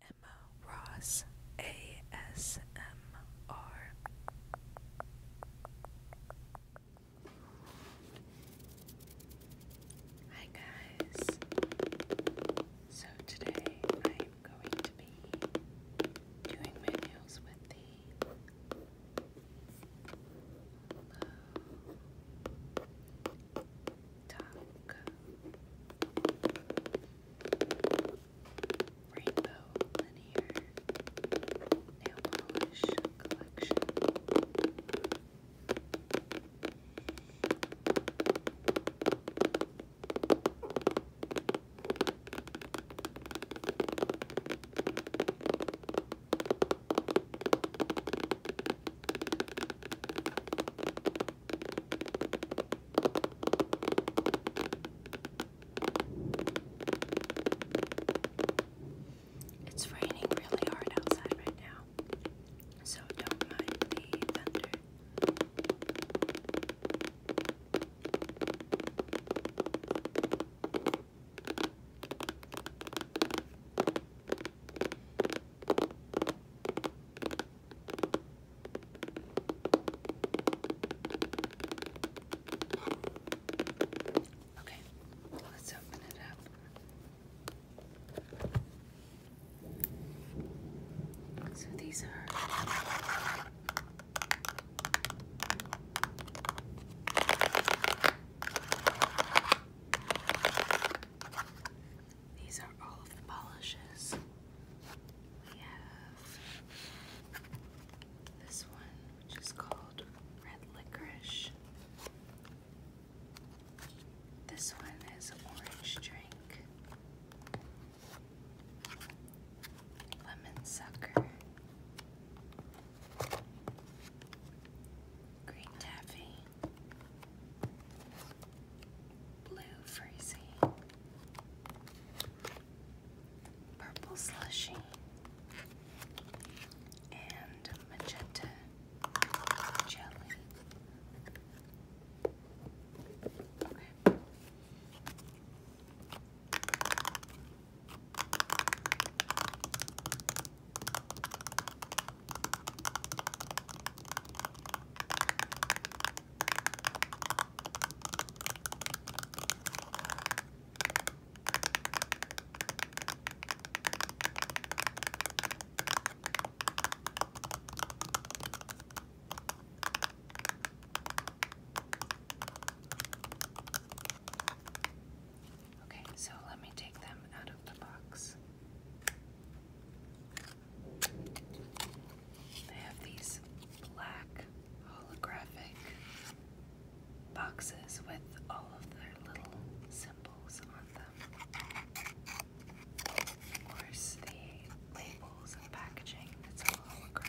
Emma Ross ASMR Hi guys. So today I am going to be doing my with the low Rainbow Linear Nail Polish Collection. It's raining really hard outside right now, so don't mind the thunder. Okay, let's open it up. So these are these are all of the polishes. We have this one, which is called red licorice. This one is orange drink, lemon sucker, green taffy, blue freezy, purple slushy, and magenta jelly. Okay. Okay, so let me take them out of the box. Okay. They have these black holographic boxes with all of their little symbols on them. Of course, the labels and packaging, it's holographic.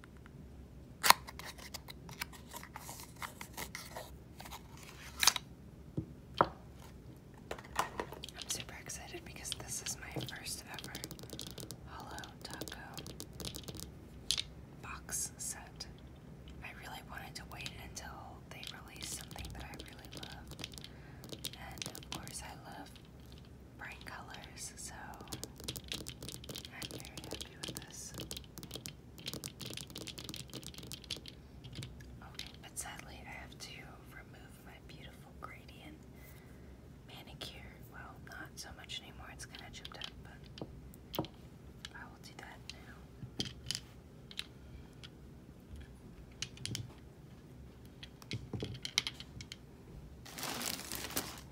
I'm super excited because this is my first ever Hollow Taco box set. I really wanted to wait until they released something that I really loved. And of course, I love bright colors, so I'm very happy with this. Okay, but sadly I have to remove my beautiful gradient manicure. Well, not so much anymore, it's kind of chipped up, but I will do that now.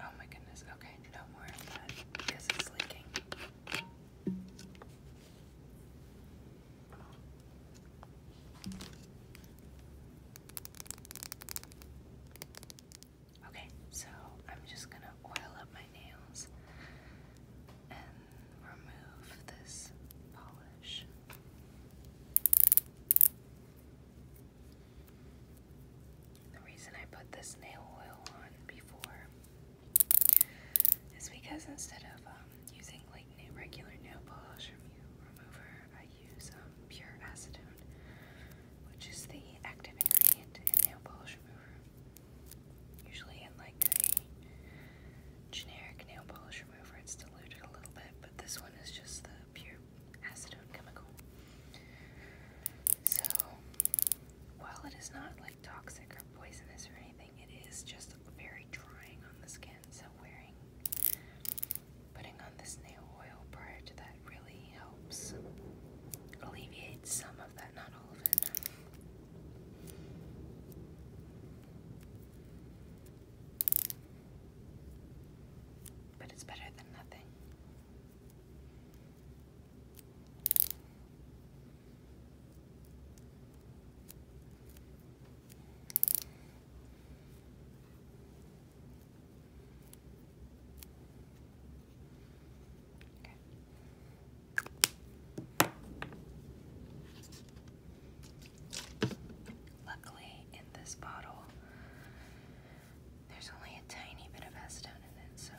Oh my goodness, okay, no more of that. This is leaking. Okay, so I'm just gonna oil up my nails and remove this polish. The reason I put this nail oil on before is because instead of um, using like regular nail polish remover, I use um, pure acetone, which is the active ingredient in nail polish remover. Usually in like a generic nail polish remover, it's diluted a little bit, but this one is just the pure acetone chemical. So, while it is not like toxic or poisonous or anything, it is just very drying on the skin. So, wearing putting on this nail oil prior to that really helps alleviate some of that, not all of it. But it's better than nothing. Okay. Luckily, in this bottle, there's only a tiny bit of acetone in it, so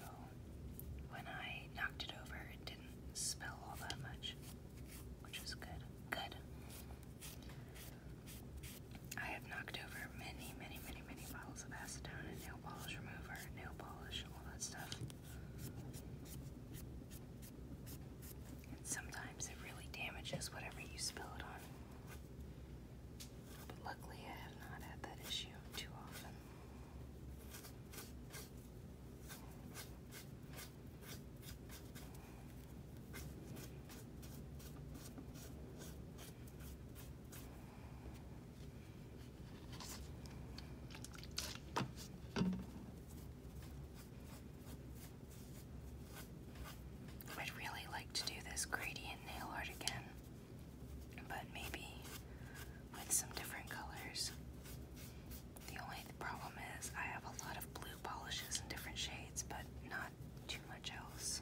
when I knocked it over, it didn't spill all that much, which was good. Good. I have knocked over many, many, many, many bottles of acetone and nail polish remover, nail polish, all that stuff. And sometimes it really damages whatever you spill it on. But luckily, I have not had that issue too often. I'd really like to do this gradient nail art again but maybe with some different colors. The only problem is I have a lot of blue polishes in different shades, but not too much else.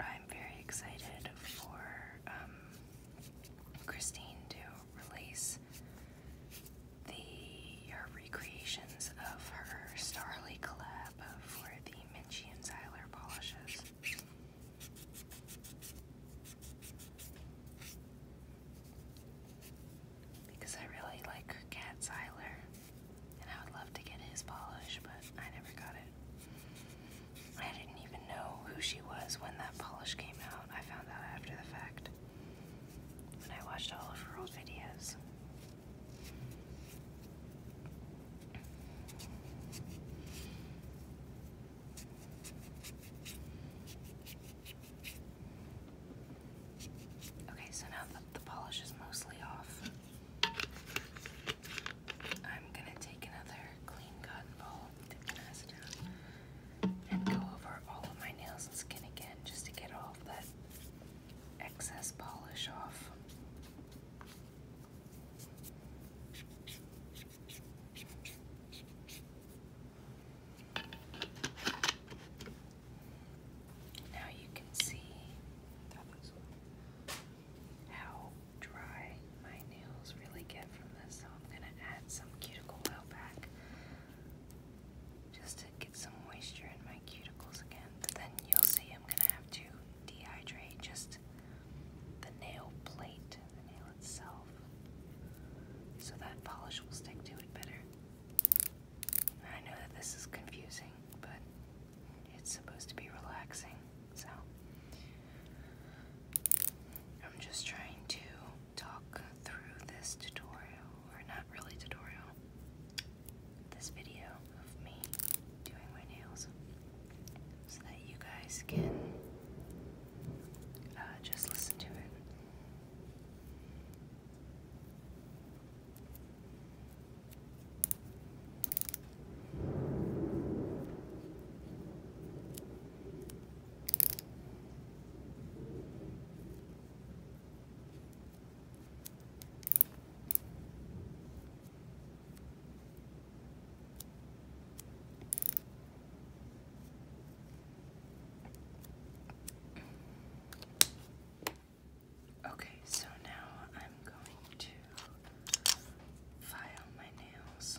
I'm very excited for um, Christine to release the recreations of her Starly collab for the Minchie and Zyler polishes. Because I really like Cat Siler, and I would love to get his polish, but I never got it. I didn't even know who she was when that polish came out. I found out after the fact when I watched all of her old videos. Okay, so now that the polish is mostly off, I'm gonna take another clean cotton ball dip down, and go over all of my nails and skin again just to get all that excess polish off. Now you can see how dry my nails really get from this, so I'm going to add some cuticle oil back just to get some moisture in my cuticles again. But then you'll see I'm going to have to dehydrate just the nail plate the nail itself so that polish will stick to it better. I know that this is confusing, but it's supposed to be relaxing, so I'm just trying to talk through this tutorial, or not really tutorial, this video of me doing my nails so that you guys can uh, just listen to it. Okay, so now I'm going to file my nails.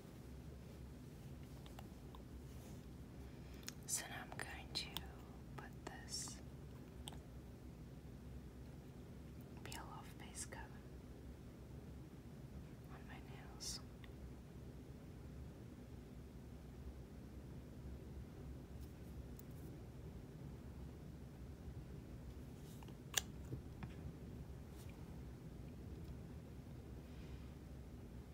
So now I'm going to put this peel off base coat on my nails.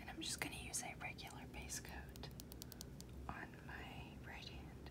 And I'm just going to use a regular base coat on my right hand.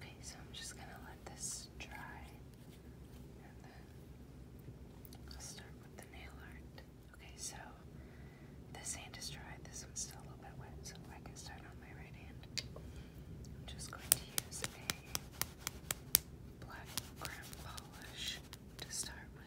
Okay, so I'm just going to let this dry and then I'll start with the nail art. Okay, so the sand is dry, this one's still a little bit wet, so I can start on my right hand. I'm just going to use a black ground polish to start with.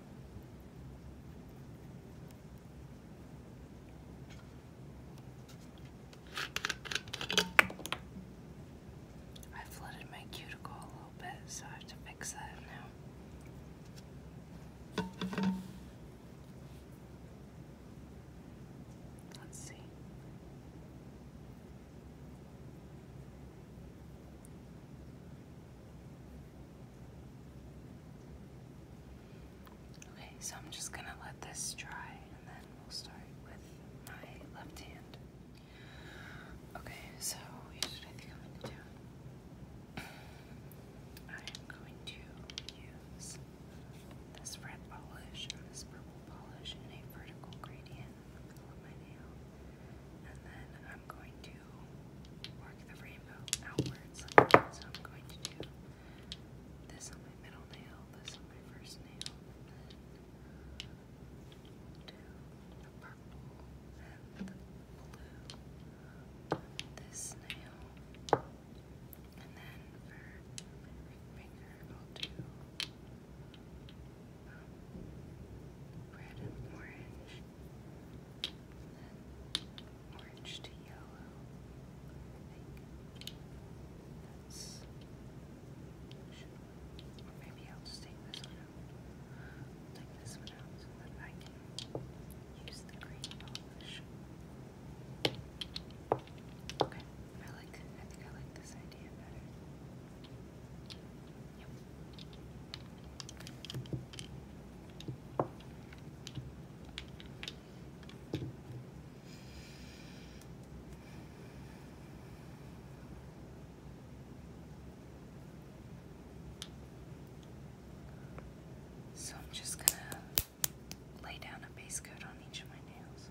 I flooded my cuticle a little bit, so I have to fix that now. Let's see. Okay, so I'm just gonna let this dry and then we'll start with my left hand. Okay, so here's what I think I'm gonna do. I'm going to use this red polish and this purple polish in a vertical gradient in my nail. And then I'm going to work the rainbow outwards So I'm going to do this on my middle nail, this on my first nail, then do the purple and the blue this nail. And then for my ring finger, I'll do um, red and orange orange to yellow. maybe I'll just take this one out. take this one out so that I can use the green polish. Okay, I like I think I like this idea better. So I'm just going to lay down a base coat on each of my nails.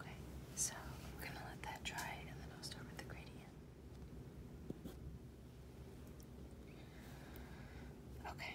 Okay, so we're going to let that dry and then I'll start with the gradient. Okay.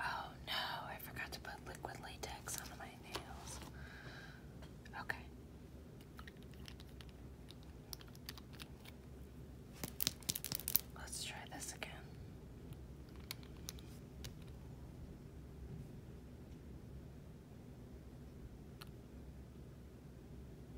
Oh no, I forgot to put liquid latex on my nails. Okay. Let's try this again.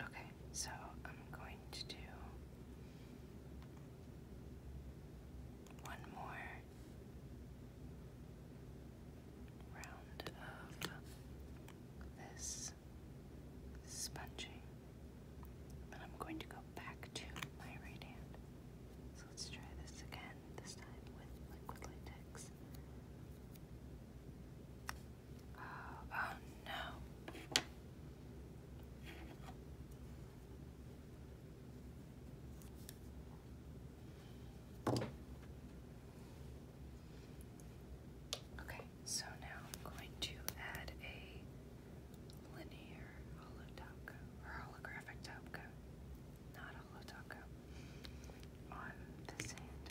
Okay, so I'm going to do one more round of this sponging. But I'm going to go back to my right hand. So let's try this again, this time with liquid latex. Oh, oh no. Okay, so now I'm going to add a linear holotopka or holographic topka, not holotopka, on this hand.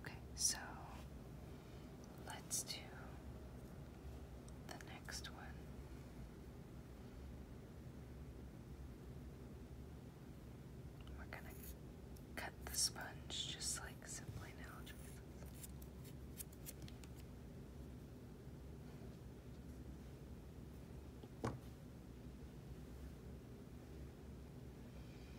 Okay, so let's do the next one. We're going to cut the sponge just like simply now.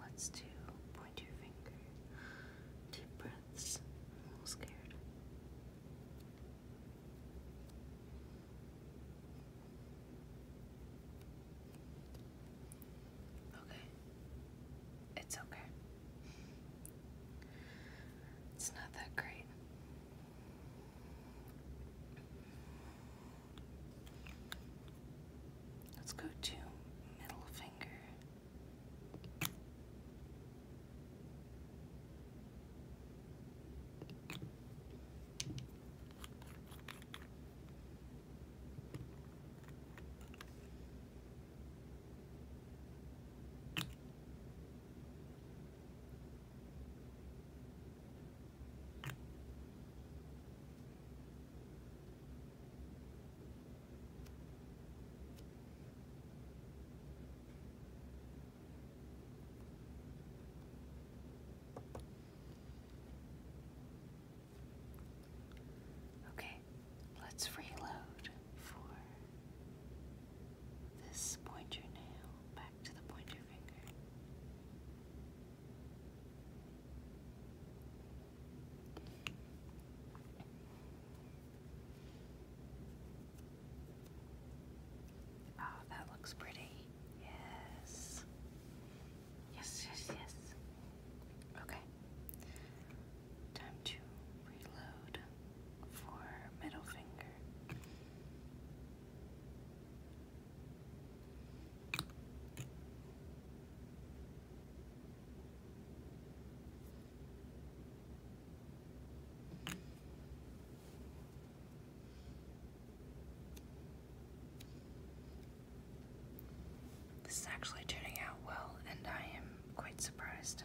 let's do point your finger. Deep breaths. I'm scared. Okay. It's okay. It's not that great. Let's go to middle finger. Okay, let's reload for this pointer nail back to the pointer finger. Oh, that looks pretty. Yes. Yes, yes, yes. Okay. Time to reload for middle finger. This is actually turning out well, and I am quite surprised.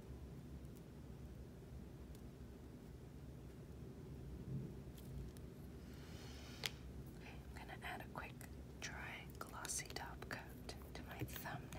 I'm going to add a quick dry glossy top coat to my thumbnail.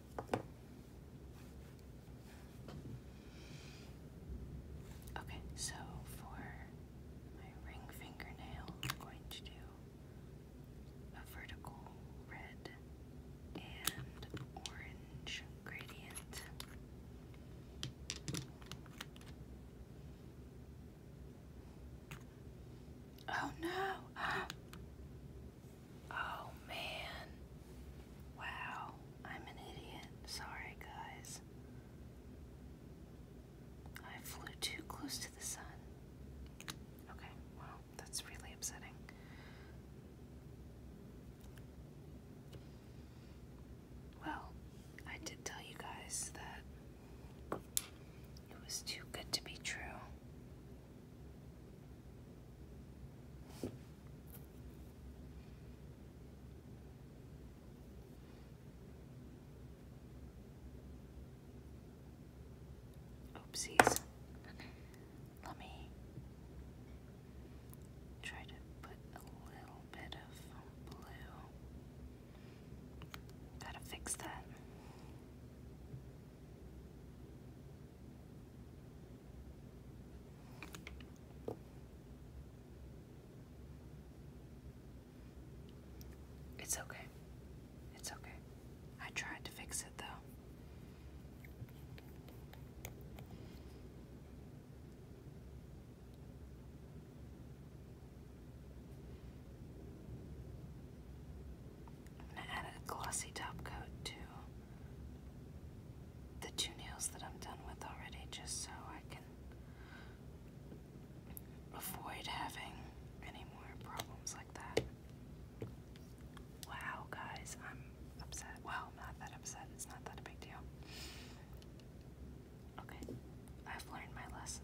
Okay, so for my ring fingernail, I'm going to do a vertical red and orange gradient. Oh no! Oh man. Wow, I'm an idiot. Sorry, guys. I flew too close to the sun. Okay, well, that's really upsetting. Well, I did tell you guys that it was too good to be true. Oopsies. Let me try to put a little bit of blue. Gotta fix that. It's okay. It's okay. I tried to fix it though. I'm going to add a glossy top coat too the two nails that I'm done with already just so I can avoid having any more problems like that. Wow, guys, I'm upset. Well, not that upset. It's not that a big deal. Okay, I've learned my lesson.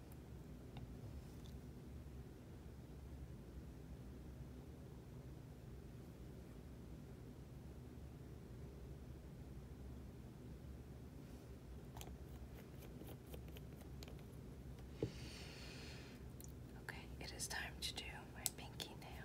Okay, it is time to do my pinky nail.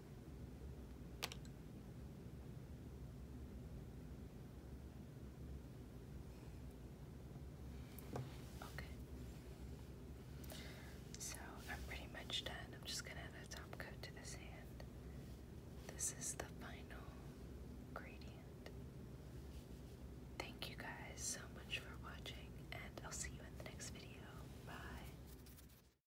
Okay. So I'm pretty much done. I'm just gonna add a top coat to this hand. This is the final gradient. Thank you guys so much for watching, and I'll see you in the next video. Bye.